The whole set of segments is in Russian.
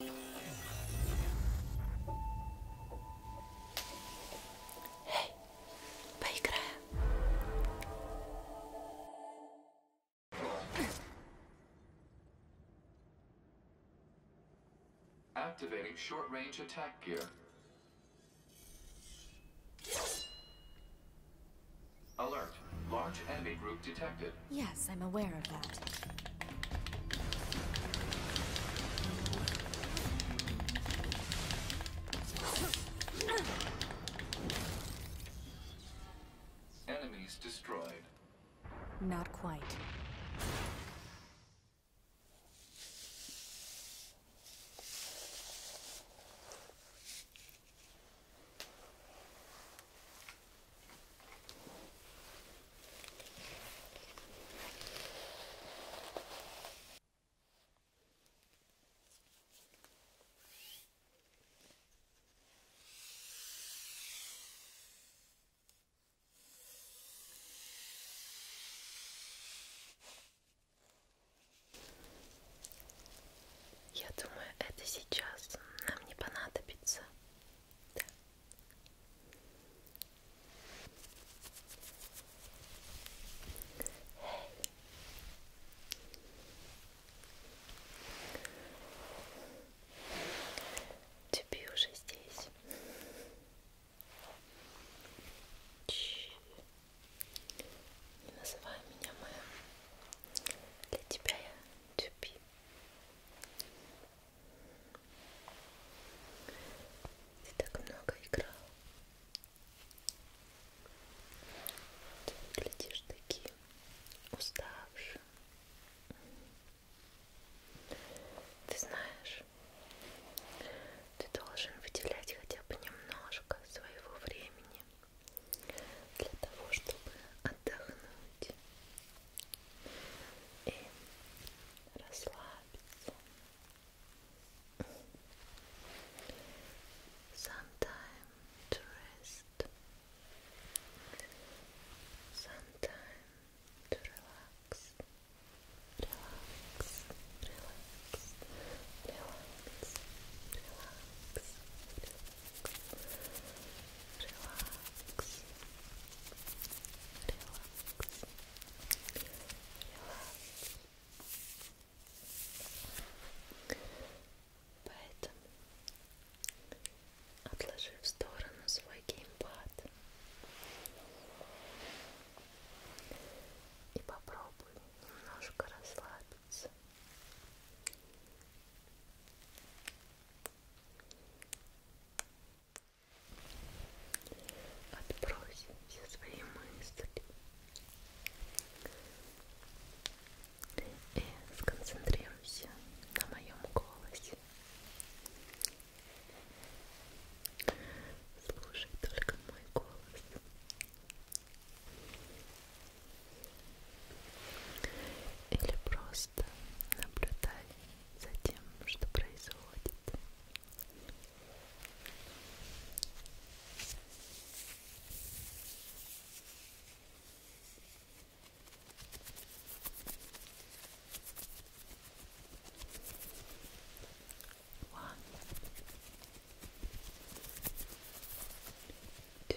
Эй, поиграем. Activating short-range attack gear. Alert. Large enemy group detected. Yes, I'm aware of that. Enemies destroyed. Not quite. Я думаю, это сейчас нам не понадобится. Да. Тебе уже здесь. Ч не называй меня моя. Для тебя я тюпи. Ты так много играл. Ты выглядишь таким уставшим. Ты знаешь, ты должен выделять хотя бы немножко своего времени для того, чтобы отдохнуть и расслабиться. to rest. Some to relax. Relax, relax, relax, relax, relax, relax. релакс, релакс. Поэтому, отложи в сторону свой геймпад и попробуй немножко расслабиться. Отбрось все свои мысли и сконцентрируйся на моем голосе. Слушай только мой голос. Или просто Просто наблюдай за тем, что происходит. One, two,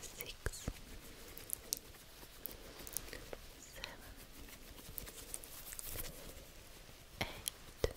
six, seven, eight, nine, ten. Eleven,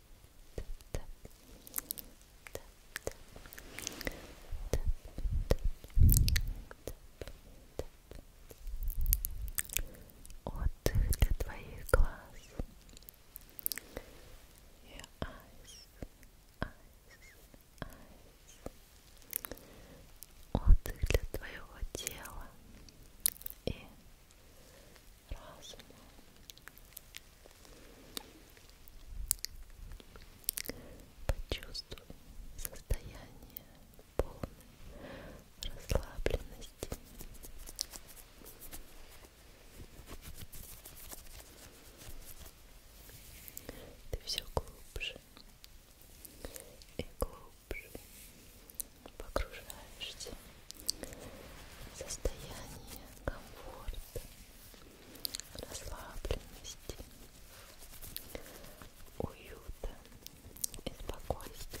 Отдых для твоих глаз. Your eyes, eyes, eyes. Отдых для твоего тела и разума. Почувствуй состояние полной расслабленности. Ты все глубже и глубже погружаешься в состояние комфорта, расслабленности, уюта и спокойствия.